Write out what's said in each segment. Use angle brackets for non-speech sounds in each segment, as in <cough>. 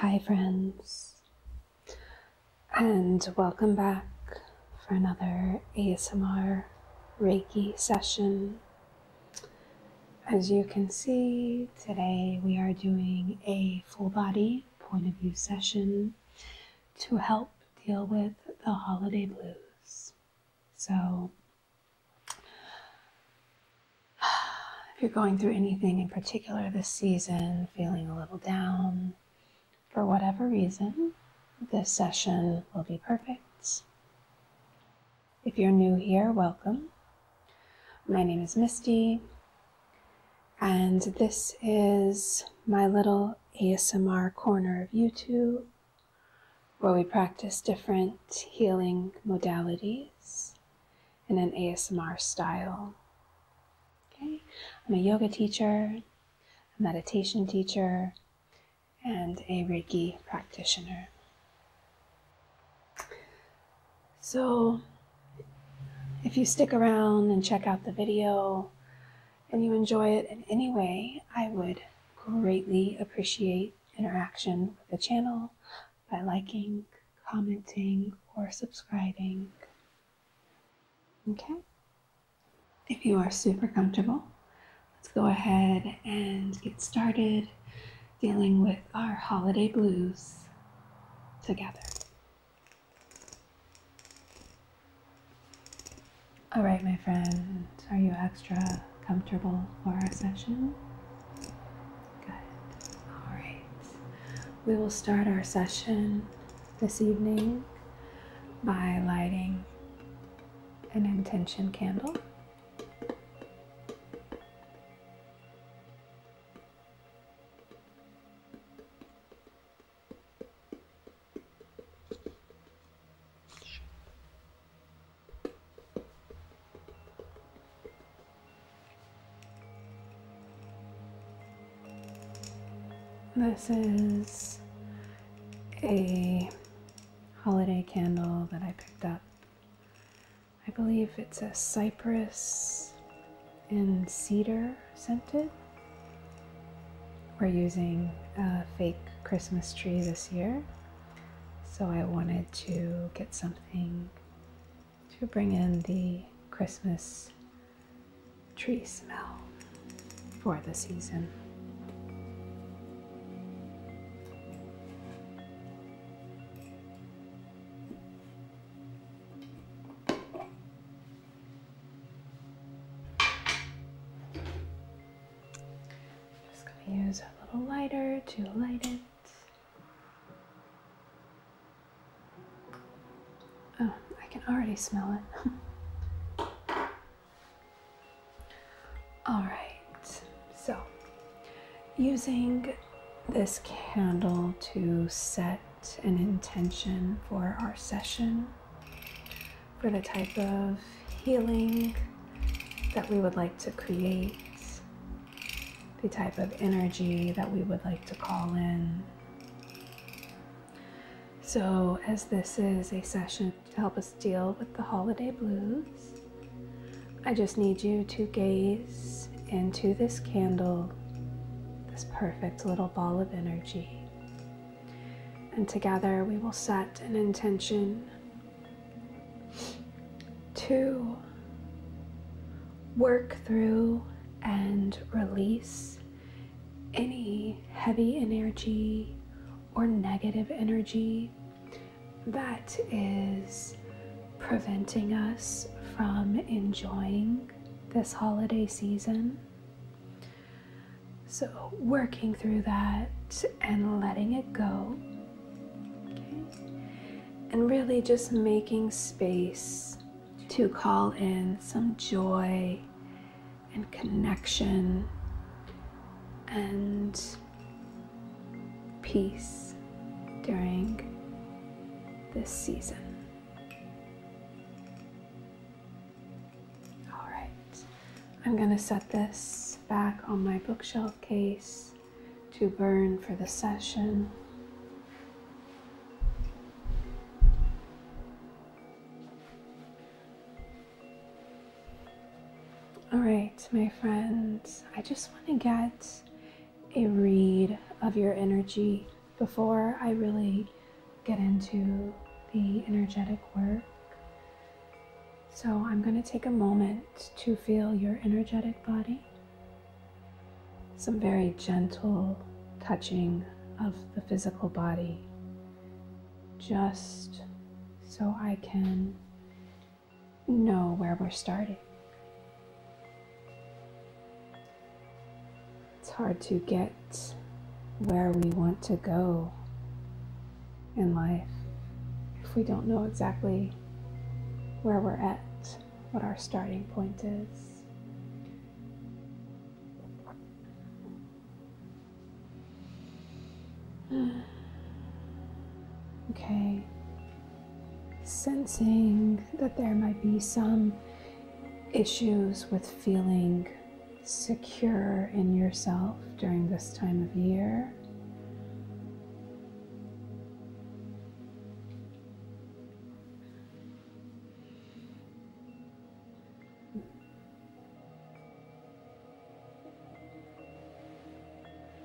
Hi, friends and welcome back for another ASMR Reiki session. As you can see, today we are doing a full body point of view session to help deal with the holiday blues. So, <sighs> if you're going through anything in particular this season, feeling a little down, for whatever reason, this session will be perfect. If you're new here, welcome. My name is Misty, and this is my little ASMR corner of YouTube where we practice different healing modalities in an ASMR style. Okay, I'm a yoga teacher a meditation teacher, and a Reiki practitioner. So, if you stick around and check out the video and you enjoy it in any way, I would greatly appreciate interaction with the channel by liking, commenting, or subscribing. Okay? If you are super comfortable, let's go ahead and get started dealing with our holiday blues together. All right, my friend, are you extra comfortable for our session? Good. All right. We will start our session this evening by lighting an intention candle. This is a holiday candle that I picked up. I believe it's a cypress and cedar scented. We're using a fake Christmas tree this year, so I wanted to get something to bring in the Christmas tree smell for the season. Just going to use a little lighter to light it. Oh, I can already smell it. Alright, so using this candle to set an intention for our session, for the type of healing that we would like to create, the type of energy that we would like to call in. So, as this is a session to help us deal with the holiday blues, I just need you to gaze into this candle, this perfect little ball of energy. And together we will set an intention to work through and release any heavy energy or negative energy that is preventing us from enjoying this holiday season. So, working through that and letting it go. And really just making space to call in some joy and connection and peace during this season. All right, I'm going to set this back on my bookshelf case to burn for the session. All right, my friends, I just want to get a read of your energy before I really get into the energetic work. So I'm going to take a moment to feel your energetic body. Some very gentle touching of the physical body just so I can know where we're starting. It's hard to get where we want to go in life if we don't know exactly where we're at, what our starting point is. <sighs> Okay. Sensing that there might be some issues with feeling secure in yourself during this time of year.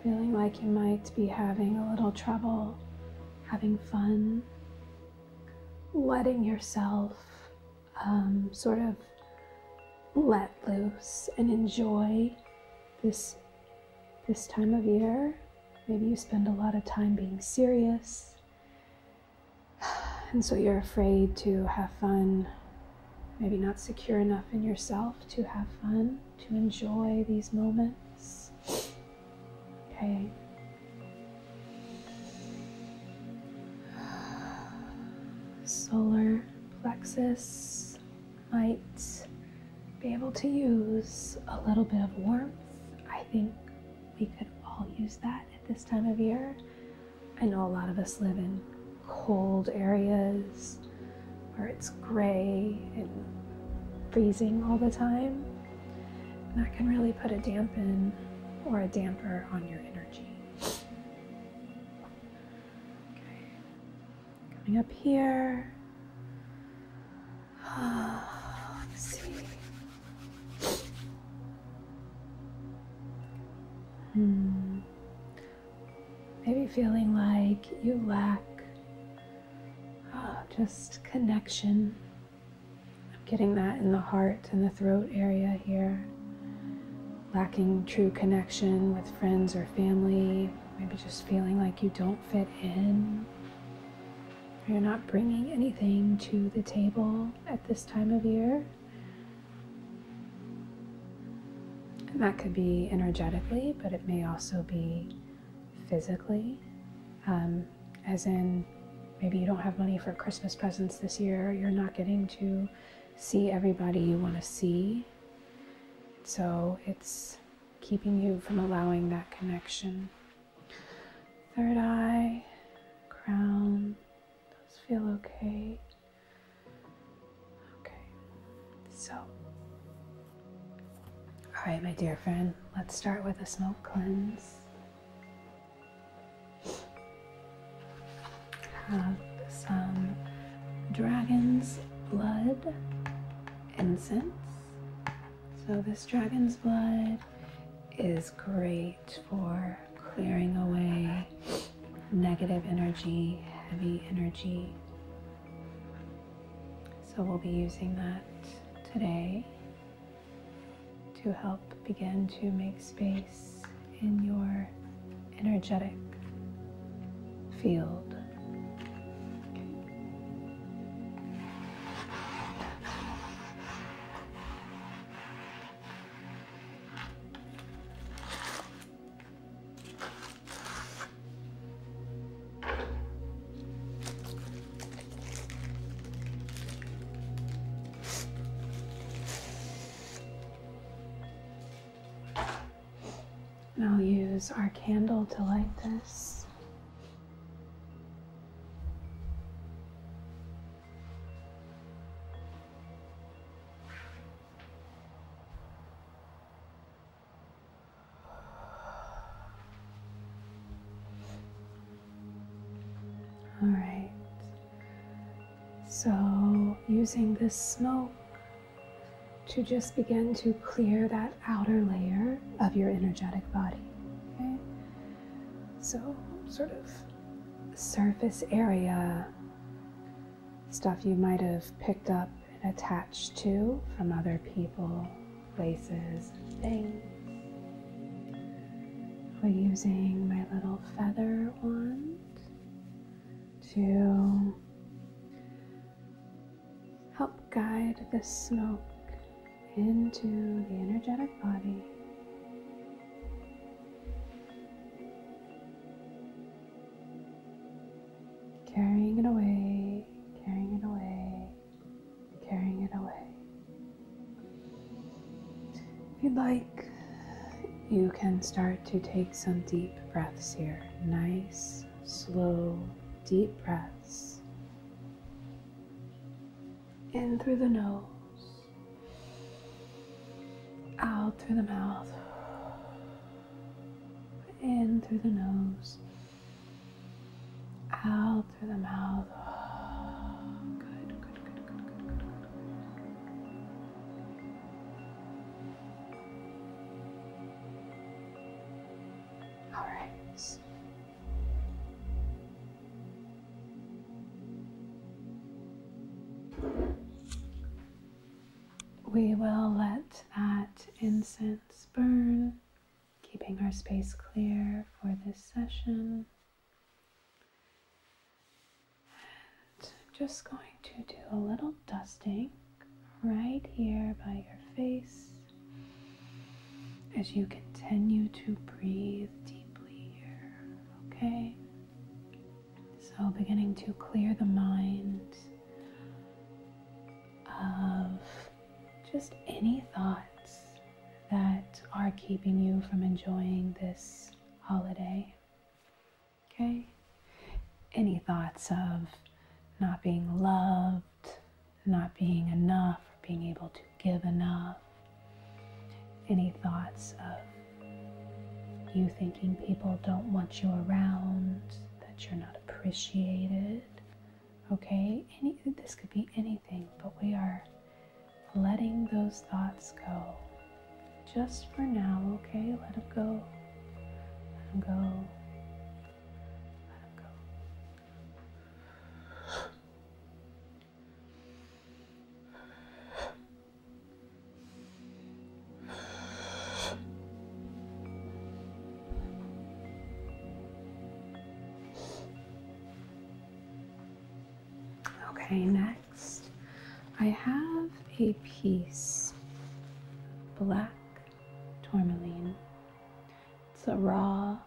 Feeling like you might be having a little trouble having fun, letting yourself um, sort of let loose and enjoy this this time of year. Maybe you spend a lot of time being serious <sighs> And so you're afraid to have fun, maybe not secure enough in yourself to have fun, to enjoy these moments. Okay. <sighs> Solar plexus might be able to use a little bit of warmth. I think we could all use that at this time of year. I know a lot of us live in cold areas where it's gray and freezing all the time. And that can really put a dampen or a damper on your energy. Okay. Coming up here. <sighs> let's see. Hmm. Maybe feeling like you lack ah, just connection. I'm getting that in the heart and the throat area here. Lacking true connection with friends or family. Maybe just feeling like you don't fit in. You're not bringing anything to the table at this time of year that could be energetically, but it may also be physically, um, as in maybe you don't have money for Christmas presents this year, you're not getting to see everybody you want to see. So it's keeping you from allowing that connection. Third eye, crown, does feel okay. Okay, so, all right, my dear friend, let's start with a smoke cleanse. Have some dragon's blood incense. So, this dragon's blood is great for clearing away negative energy, heavy energy. So we'll be using that today to help begin to make space in your energetic field. I'll use our candle to light this. All right, so using this smoke to just begin to clear that outer layer of your energetic body. so sort of surface area, stuff you might have picked up and attached to from other people, places, things. We're using my little feather wand to help guide the smoke into the energetic body Carrying it away, carrying it away, carrying it away. If you'd like, you can start to take some deep breaths here. Nice, slow, deep breaths in through the nose out through the mouth, in through the nose, out through the mouth. Good, good, good, good, good, good, good. All right. We will let that incense burn, keeping our space clear for this session. just going to do a little dusting right here by your face as you continue to breathe deeply here okay? So, beginning to clear the mind of just any thoughts that are keeping you from enjoying this holiday, okay? Any thoughts of not being loved, not being enough, or being able to Give enough. any thoughts of you thinking people don't want you around, that you're not appreciated. Okay, any, this could be anything, but we are letting those thoughts go just for now, okay? Let them go. Let them go. Let them go. Okay, next I have a piece black tourmaline. It's a raw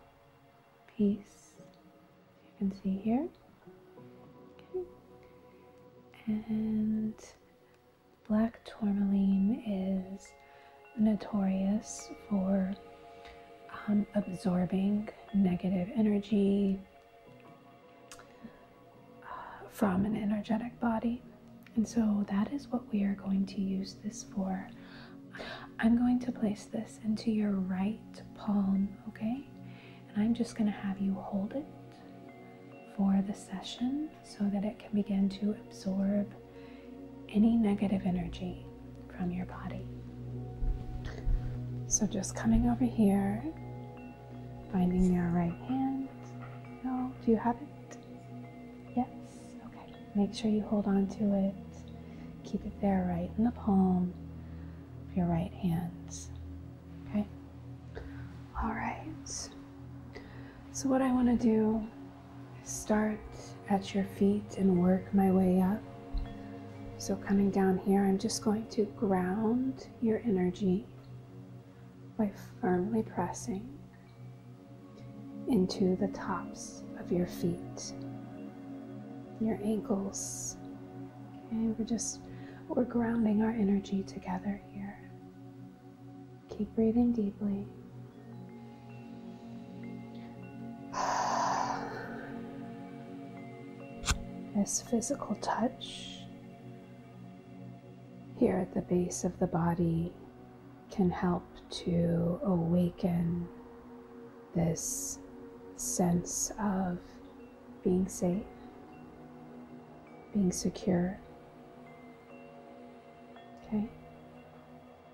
piece you can see here. And black tourmaline is notorious for um, absorbing negative energy uh, from an energetic body. And so that is what we are going to use this for. I'm going to place this into your right palm, okay? And I'm just going to have you hold it for the session so that it can begin to absorb any negative energy from your body. So just coming over here, finding your right hand. No, do you have it? Yes, okay. Make sure you hold on to it. Keep it there right in the palm your right hands. Okay? All right. So, what I want to do is start at your feet and work my way up. So, coming down here, I'm just going to ground your energy by firmly pressing into the tops of your feet, your ankles, Okay, we're just we're grounding our energy together here. Keep breathing deeply. <sighs> This physical touch here at the base of the body can help to awaken this sense of being safe, being secure. Okay,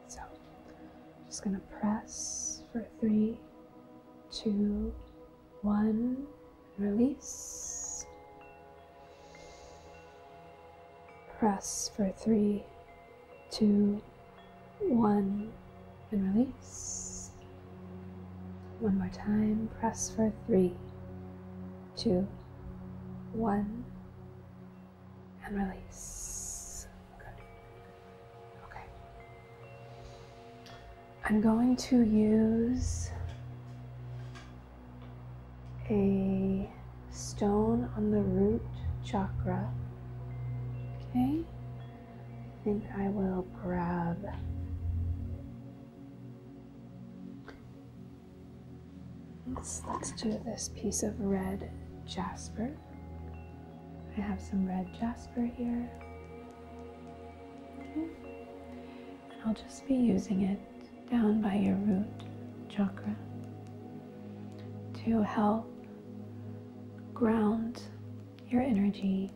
so I'm just going to press for three, two, one, release. Press for three, two, one and release. One more time. Press for three, two, one, and release. Good. Okay. I'm going to use a stone on the root chakra. Okay, I think I will grab let's, do this piece of red jasper. I have some red jasper here. I'll just be using it down by your root chakra to help ground your energy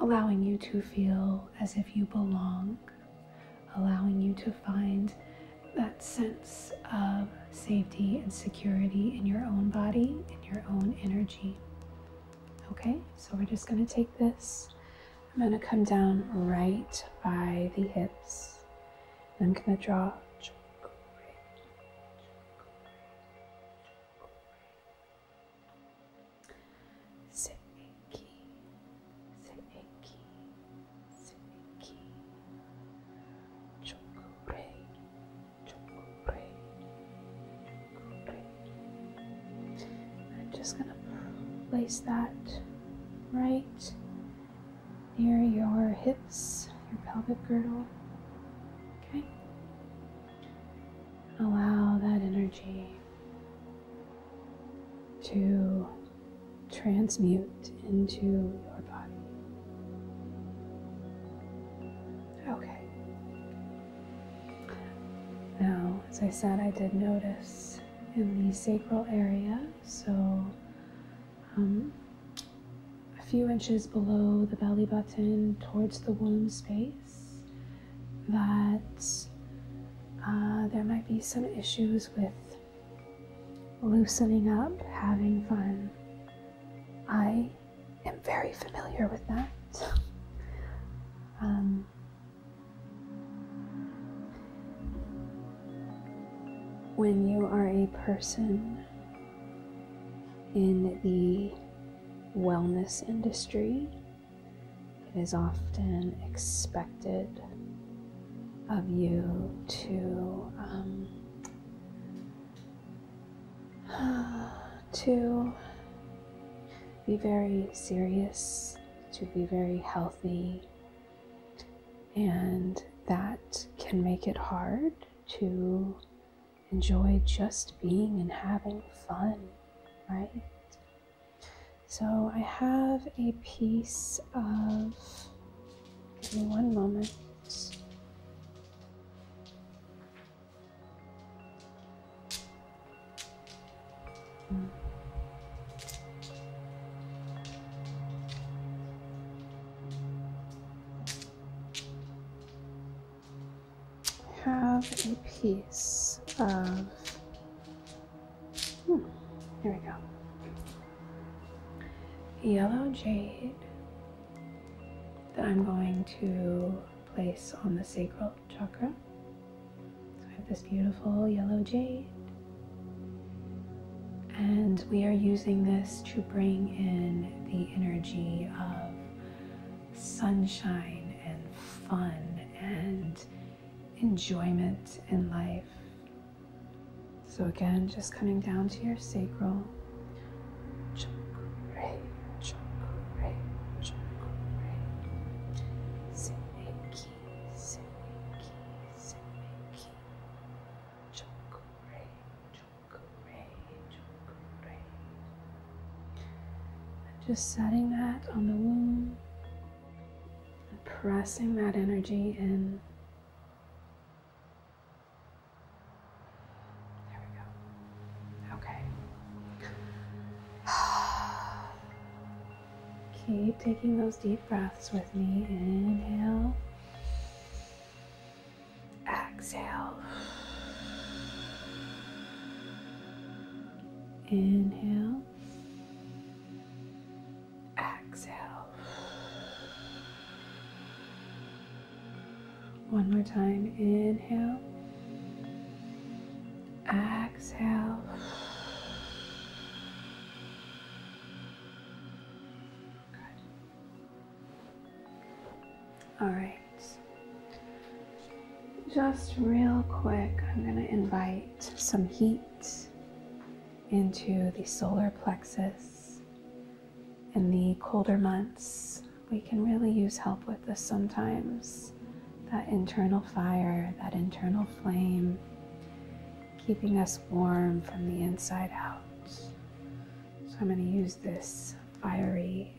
allowing you to feel as if you belong, allowing you to find that sense of safety and security in your own body, in your own energy. Okay, so we're just going to take this. I'm going to come down right by the hips. I'm going to draw Seki, Seki, Seiki, Chokurei, Chokurei, Chokurei. I'm just going to place that right near your hips, your pelvic girdle. Okay. Allow that energy to transmute into your body. Okay. Now, as I said, I did notice in the sacral area, so um, a few inches below the belly button towards the womb space that uh, there might be some issues with loosening up, having fun. I am very familiar with that. <laughs> Um, when you are a person in the wellness industry, it is often expected of you to um, <sighs> to be very serious, to be very healthy, and that can make it hard to enjoy just being and having fun, right? So I have a piece of, give me one moment have a piece of. Hmm, here we go. Yellow jade that I'm going to place on the sacral chakra. So I have this beautiful yellow jade. And we are using this to bring in the energy of sunshine and fun and enjoyment in life. So, again, just coming down to your sacral just setting that on the womb and pressing that energy in. There we go. Okay. <sighs> Keep taking those deep breaths with me. Inhale. Exhale. Inhale. Exhale. One more time. Inhale. Exhale. All right. Just real quick, I'm going to invite some heat into the solar plexus. In the colder months, we can really use help with this sometimes. That internal fire, that internal flame, keeping us warm from the inside out. So I'm going to use this fiery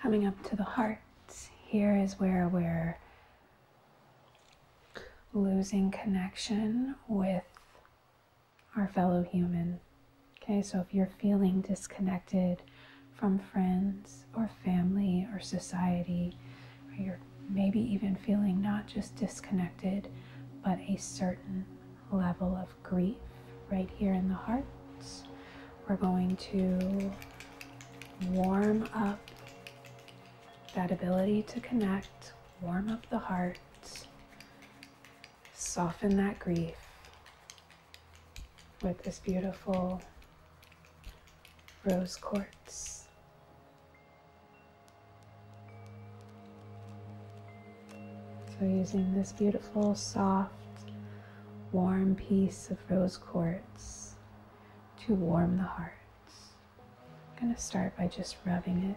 Coming up to the heart, here is where we're losing connection with our fellow human. Okay, so if you're feeling disconnected from friends, or family or society, or you're maybe even feeling not just disconnected, but a certain level of grief right here in the heart. We're going to warm up that ability to connect, warm up the heart, soften that grief with this beautiful rose quartz so, using this beautiful, soft, warm piece of rose quartz to warm the heart, I'm going to start by just rubbing it.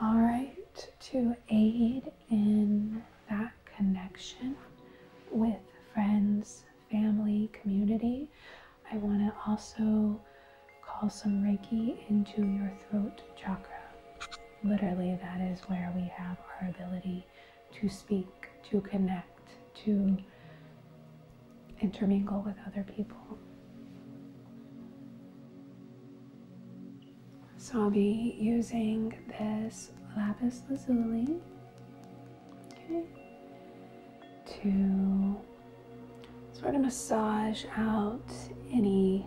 All right, to aid in that connection with friends, family, community, I want to also call some Reiki into your throat chakra. Literally, that is where we have our ability to speak, to connect, to intermingle with other people. So I'll be using this lapis lazuli to sort of massage out any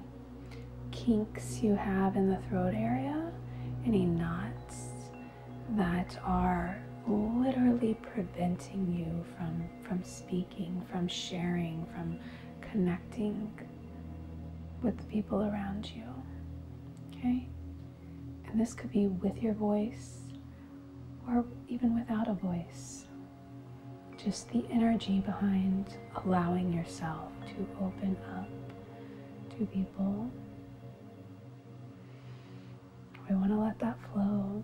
kinks you have in the throat area, any knots that are literally preventing you from from speaking, from sharing, from connecting with the people around you. Okay? And this could be with your voice or even without a voice. Just the energy behind allowing yourself to open up to people. We want to let that flow.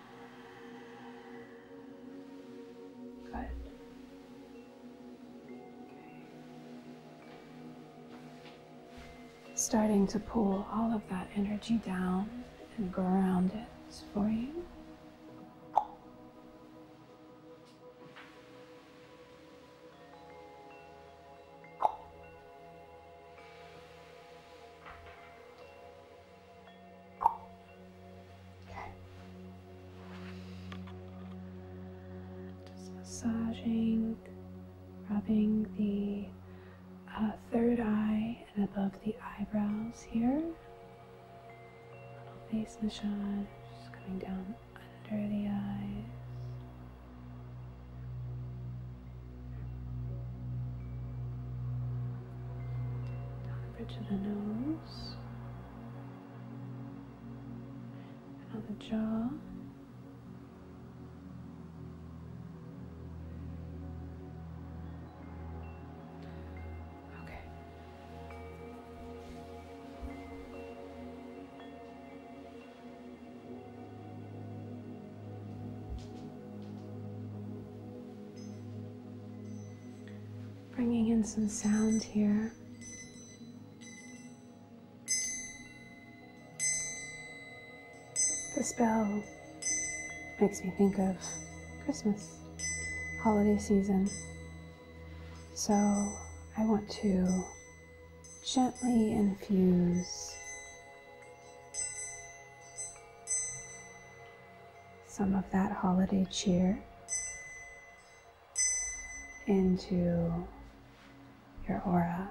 Good. Okay. Starting to pull all of that energy down and ground it for you. Just massaging, rubbing the uh, third eye and above the eyebrows here. Little face massage, just coming down under the eyes down the bridge of the nose, and on the jaw. Okay. Bringing in some sound here. The spell makes me think of Christmas, holiday season. So I want to gently infuse some of that holiday cheer into your aura.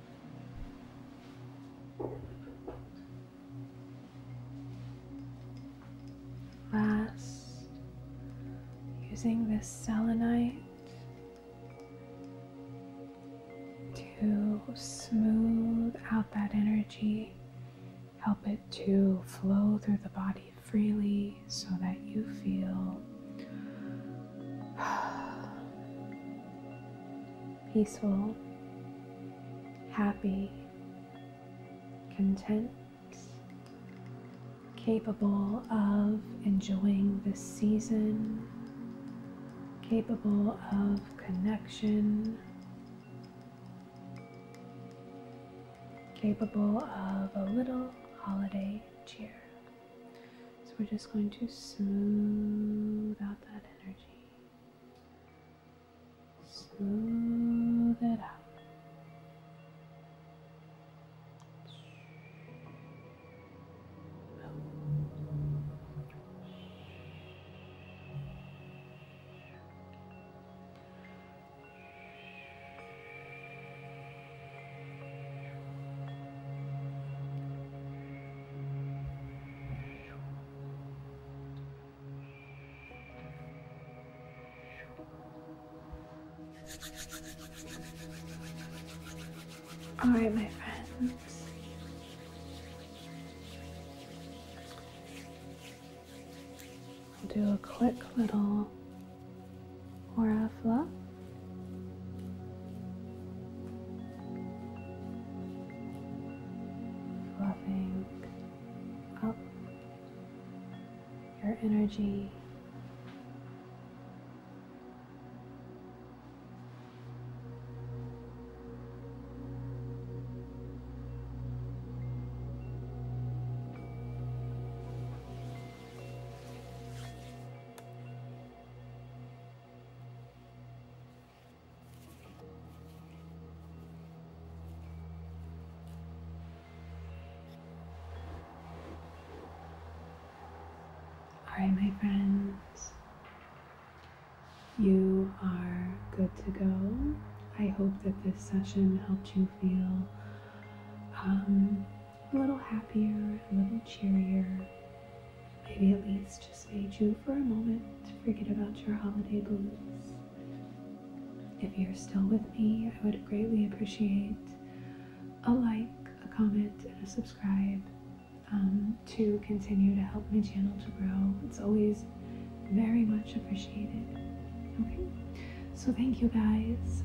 Last, using this selenite to smooth out that energy, help it to flow through the body freely so that you feel <sighs> peaceful, happy, content, capable of enjoying this season, capable of connection, capable of a little holiday cheer. So we're just going to smooth out that energy. Smooth it out. All right, my friends. I'll do a quick little aura fluffing up your energy. All right, my friends, you are good to go. I hope that this session helped you feel um, a little happier, a little cheerier, Maybe at least just made you for a moment forget about your holiday blues. If you're still with me, I would greatly appreciate a like, a comment, and a subscribe um, to continue to help my channel to grow. It's always very much appreciated. Okay, so thank you guys.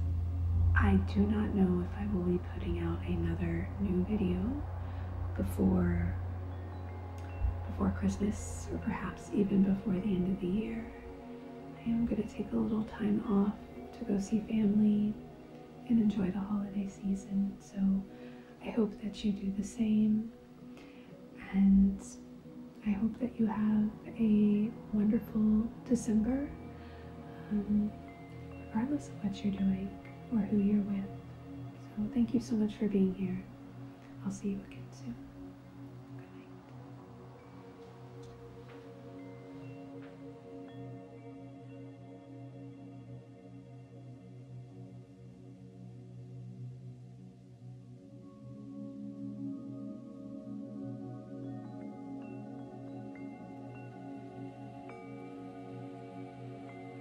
I do not know if I will putting out another new video before before Christmas or perhaps even before the end of the year. I am going to take a little time off to go see family and enjoy the holiday season. So I hope that you do the same and I hope that you have a wonderful December. Um, regardless of what you're doing or who you're with. So, thank you so much for being here. I'll see you again soon. Good night.